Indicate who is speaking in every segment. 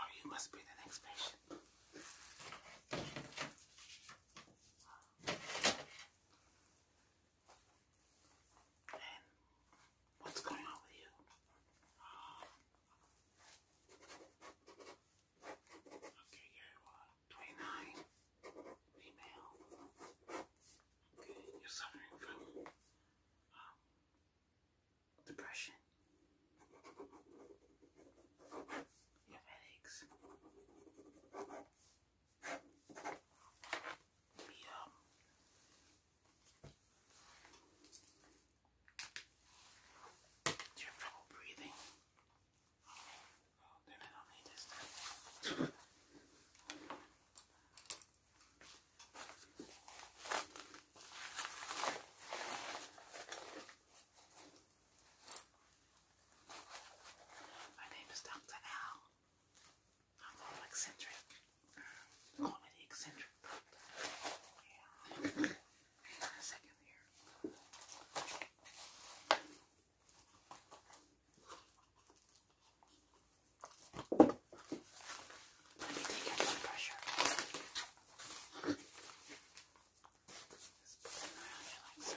Speaker 1: Oh, must be the next patient. what's going on with you? Okay, you 29, female. Okay, you're suffering from um, depression. You have headaches. Maybe um, do you have trouble breathing? Oh, then I need this My name is Dr. Al. I'm all eccentric. Call me the eccentric poop. Yeah. Hang on a second here. Let me take out some pressure. Just put it around here like so.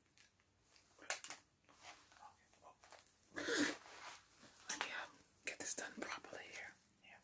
Speaker 1: Okay, well, let me um, get this done properly here. Yeah.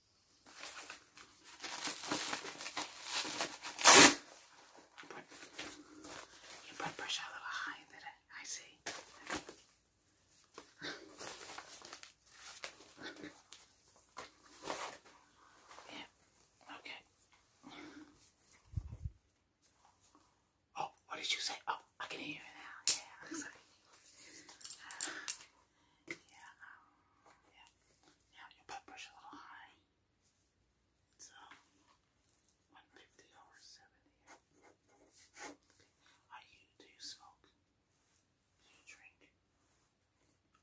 Speaker 1: You put, pressure a little high did I see. yeah. Okay. Oh, what did you say? Oh, I can hear you now. Yeah, yeah, um, yeah, yeah, your blood pressure a little high. So, um, 150 over 70. Are you, do you smoke? Do you drink?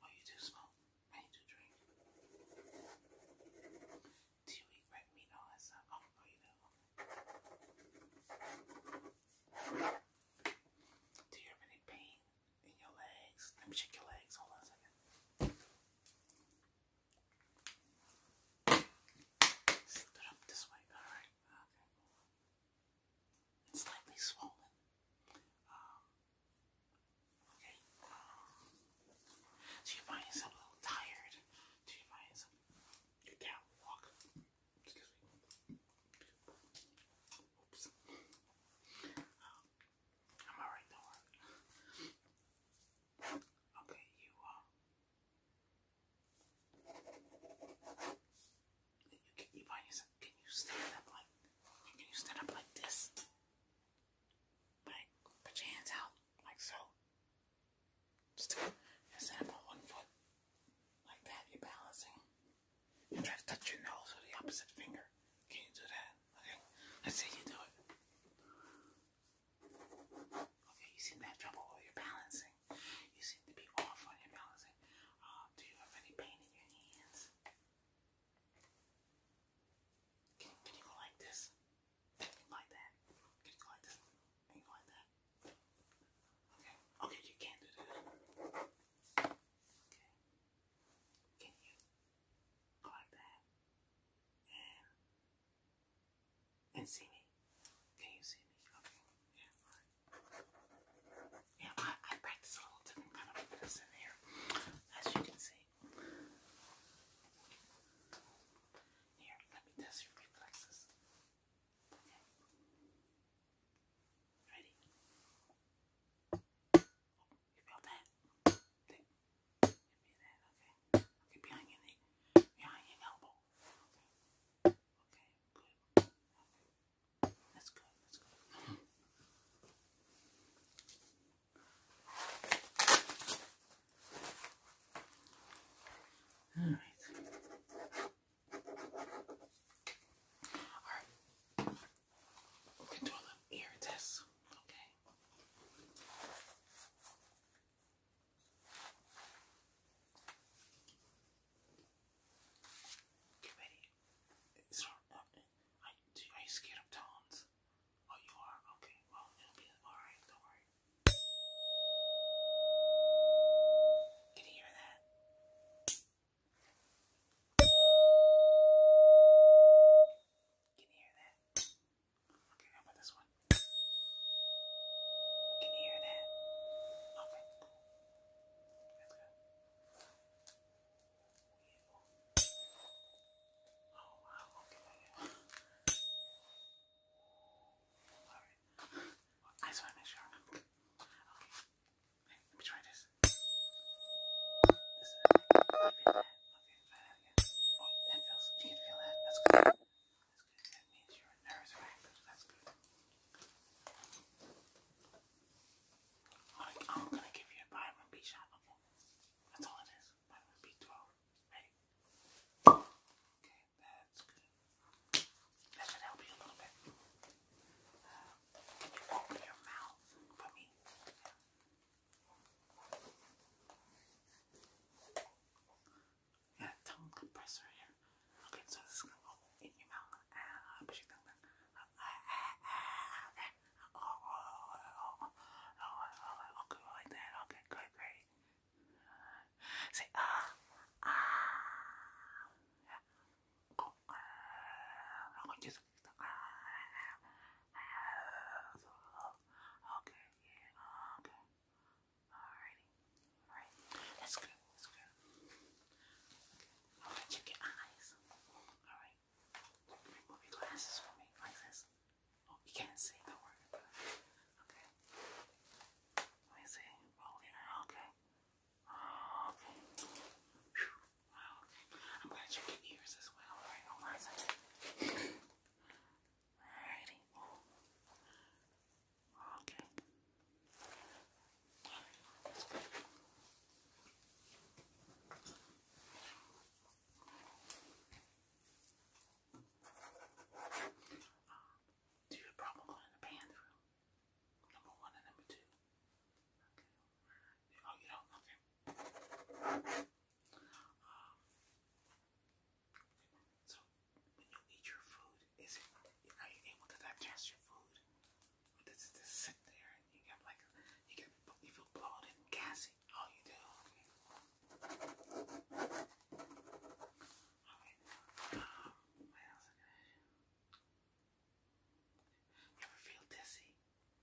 Speaker 1: Oh, you do smoke and do drink. Do you eat red meat all that stuff? Oh, you Do you have any pain? in your legs. Let me check your legs. Hold on a second. Stood up this way. Alright. Okay. It's slightly swollen. Um, okay. Um, so your mind a little tired. So your mind is you can't walk. Oops. Um, I'm alright, don't Okay, you Uh, you you find yourself can you stand up like can you stand up like this? Like put your hands out like so. Just stand up on one foot. Like that, you're balancing. And try to touch your nose with the opposite finger. Can you do that? Okay. Let's see you do it. Okay, you seem to have trouble with your balancing. You seem to be off on your balancing. Uh, do you have any pain in your hands? Can, you go like this? Can you like that? Can you go like this? Can you go like that? Okay. Okay, you can't do that. Okay. Can you? like that, and and see me. Can you see me? Okay, yeah, Yeah, I, practice a little different kind of fitness in here, as you can see. Here, let me test your reflexes. Okay. Ready? You that? You that? Okay. Okay, behind your knee. Behind your elbow. Okay. Okay, good. Okay. That's good. That's good. All right. All right. We can do a little ear test, okay? Get ready. It's uh, are you scared of tones? Oh, you are? Okay, well, it'll be alright, don't worry. Can you hear that? Can you hear that? Okay, how about this one? Can you hear that? Okay, That's good. Oh wow, okay. Alright. I just want to make sure. Okay let me try this. okay. Okay, that again. Oh, that feels. You can feel that. That's good. That means your nerves are active. That's good. I'm gonna give you a vitamin B shot. Okay, that's all it is. Vitamin B12. Okay, that's good. That should help you a little bit. can you open your mouth for me? Yeah, tongue compressor here. Okay, so this is gonna go in your mouth. Uh, push your tongue back. Uh, uh, uh, okay. Oh, oh, oh, oh, oh, okay, like that. Okay, good, great. Uh, say ah, ah. Yeah. Go Okay, okay. Alrighty. Alright. That's good. That's good. Okay. Alright, check eyes. Alright. Remove your glasses for me like Oh, you can't see, don't Okay. Let me see. Okay. Okay. Wow, okay. I'm glad you check your ears as well. Alrighty. Okay. do you have problem going Number one and number two. Oh, you don't? Okay. Um, so, when you eat your food, is it, are you able to digest your food? does it just sit there and you get like, you get, you feel bloated gassy? Oh, you do? Okay. Alright. Um, what else? You ever feel dizzy?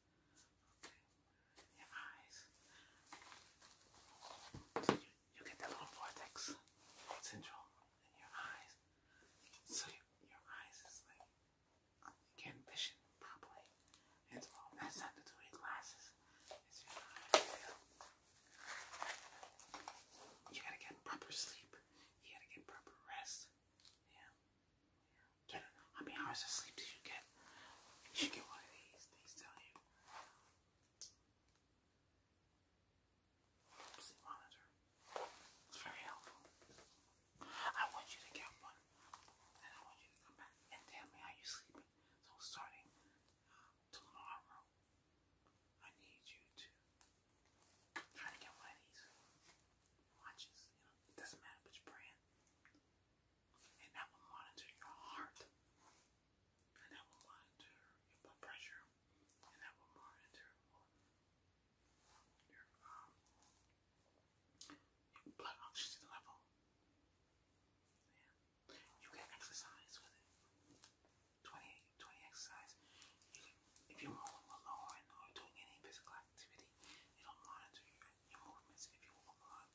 Speaker 1: Okay. Your eyes. So you, get that little vortex central in your eyes. So your eyes is like can vision properly. It's all that's not to do glasses. You gotta get proper sleep. You gotta get proper rest. yeah. You know, how many hours of sleep did you get? You get one of these. These tell you. Sleep monitor. It's very helpful. I want you to get one, and I want you to come back and tell me how you're sleeping. So starting um, tomorrow, I need you to try to get one of these watches. You know, it doesn't matter which brand hand. And that will monitor your heart. And that will monitor your blood pressure. And that will monitor your, um, blood oxygen level. Yeah. You can exercise with it. 20, exercise. if you're rolling alone or doing any physical activity, it'll monitor your movements if you walk a lot,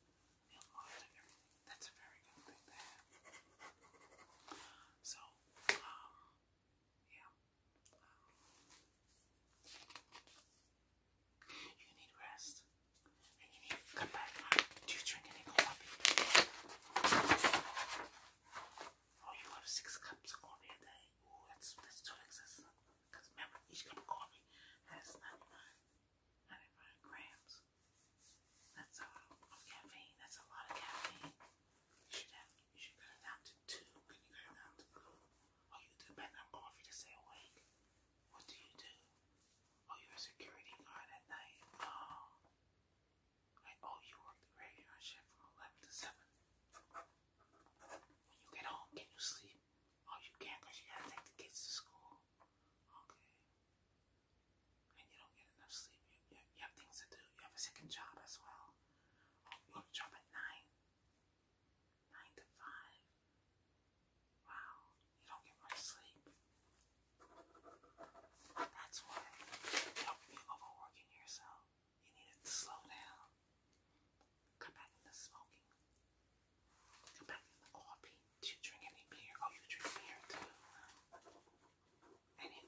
Speaker 1: you'll monitor That's a very good thing to have. So, um, yeah. you need rest. And you need come back. Do you drink any coffee? Oh, you have six cups of coffee a day. Ooh, that's, that's too excessive. Because remember, each cup of coffee has 99, grams. That's a uh, lot of caffeine. That's a lot of caffeine. You should have, you should cut down to two. Can you cut down to two? Or you do background coffee to stay awake. What do you do? Oh, you're a security guard at night. Oh, oh, you work the graveyard shift from 11 to 7. When you get home, can you sleep? Oh, you can't because you gotta take the kids to school. Okay. And you don't get enough sleep. You, you, have things to do. You have a second job as well. Um, you have a job at 9. 9 to 5. Wow. You don't get much sleep. That's why you don't be overworking yourself. You need to slow down. Come back in smoking. Come back in the Do you drink any beer? Oh, you drink beer too. Any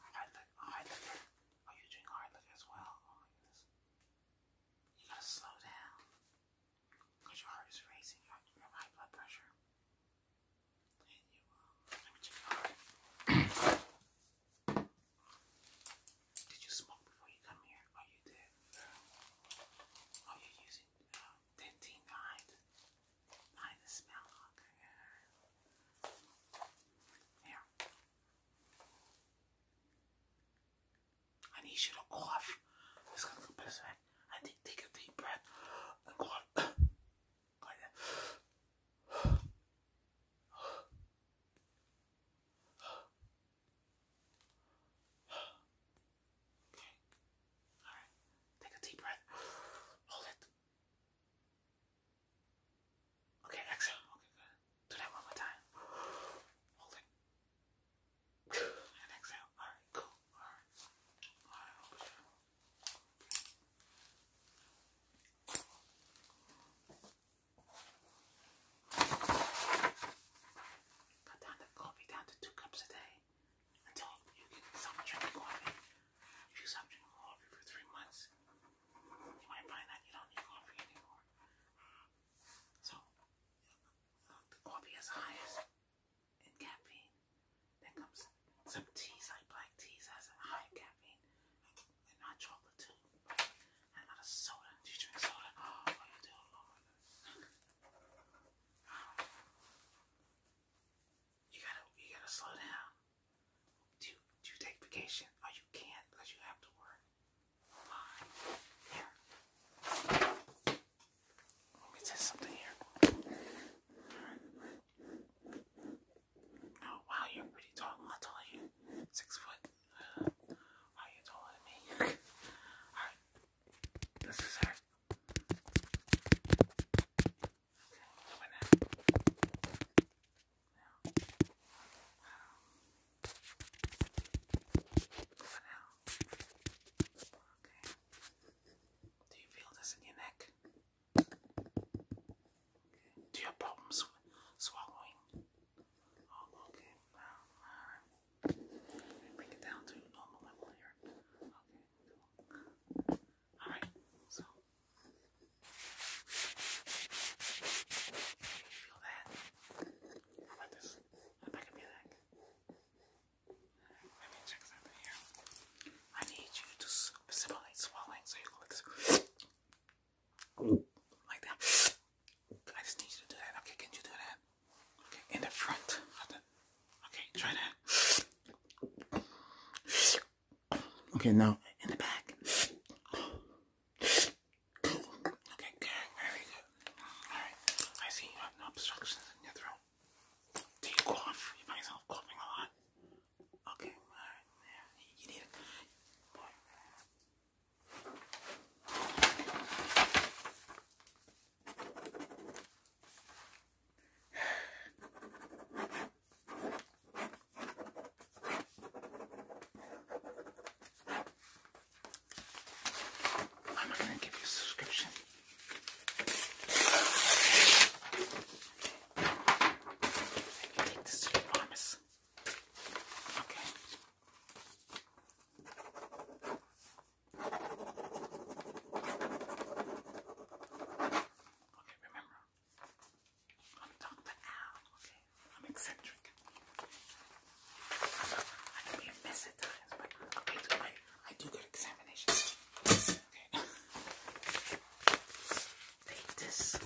Speaker 1: hard liquor? Hard oh, you drink hard liquor as well. Oh, you gotta slow down. Cause your heart is racing. You have, high blood pressure. Um, let me check your heart. Did you smoke before you come here? Oh, you did. Oh, you using uh, dentine smell. Here. I need you to cough. It's going go I need take a deep breath cough. like that. Okay. Alright. Take a deep breath. Hold it. Okay, exhale. Okay, good. Do that one more time. Hold it. And exhale. Alright, cool. Alright. Alright, Cut down the coffee down to two cups a day until you stop drinking coffee. If you stop drinking coffee for three months, you might find that you don't need coffee anymore. So, the coffee is highest in caffeine. Then comes some teas, like black teas, has high caffeine, and not chocolate too you Oh, gotta, you gotta slow down. Do do take vacation? Oh, you can't you have to work. Here. Let me test something here. Oh, wow, you're pretty tall. How tall you? Six foot. Are you taller me? Alright. This is her. Okay, over now. Now. Over now. Okay. Do you feel this in your neck? Do you have swallowing? Oh, okay. Wow. All right. Bring it down to normal level here. Okay. All right. So feel that. How about this? How back of your neck. Let me check something here. I need you to simulate swallowing so you can look. Like that. I just need you to do that. Okay, can you do that? Okay, in the front. Okay, try that. Okay, now in the back. Okay, good. Very good. Alright, I see you have no obstructions in your throat. Do cough? You find yourself coughing a lot? Okay, alright. you need it. Boy, I'm going to give you a subscription. take this promise. Okay. Okay, remember, I'm Dr. Al, okay? I'm eccentric. i can be a but I do, I, examinations. Okay. Take this.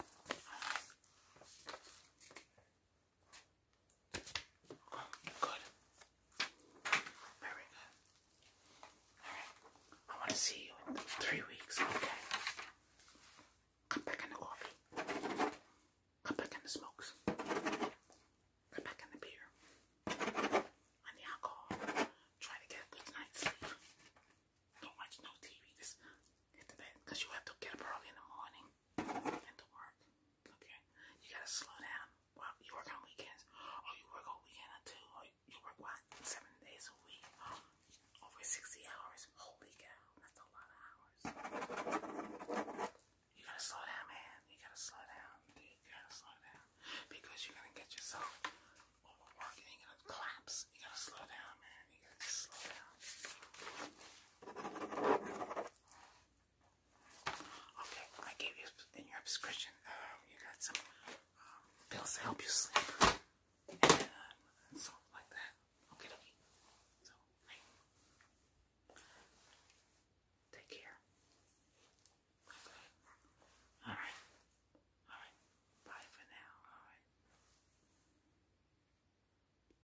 Speaker 1: Good. Very good. Alright. I want to see you in three weeks. Okay. Cut back in the coffee. Cut back in the smokes. Cut back in the beer. And the alcohol. Try to get a good night's sleep. Don't watch no TV. Just because you have to get up early in the morning and to work. Okay, you gotta slow down. Well, you work on weekends, or you work all weekend or two, or you work what seven days a week, over sixty hours. Holy cow, that's a lot of hours. You gotta slow down, man. You gotta slow down. You gotta slow down because you're gonna get yourself overworked you're gonna collapse. You gotta slow down, man. You gotta slow down. Okay, I gave you in your prescription. Um, you got some um, pills to help you sleep, and, uh, like that. Okay, okay. So, take care. All right. All right. Bye for now. All right.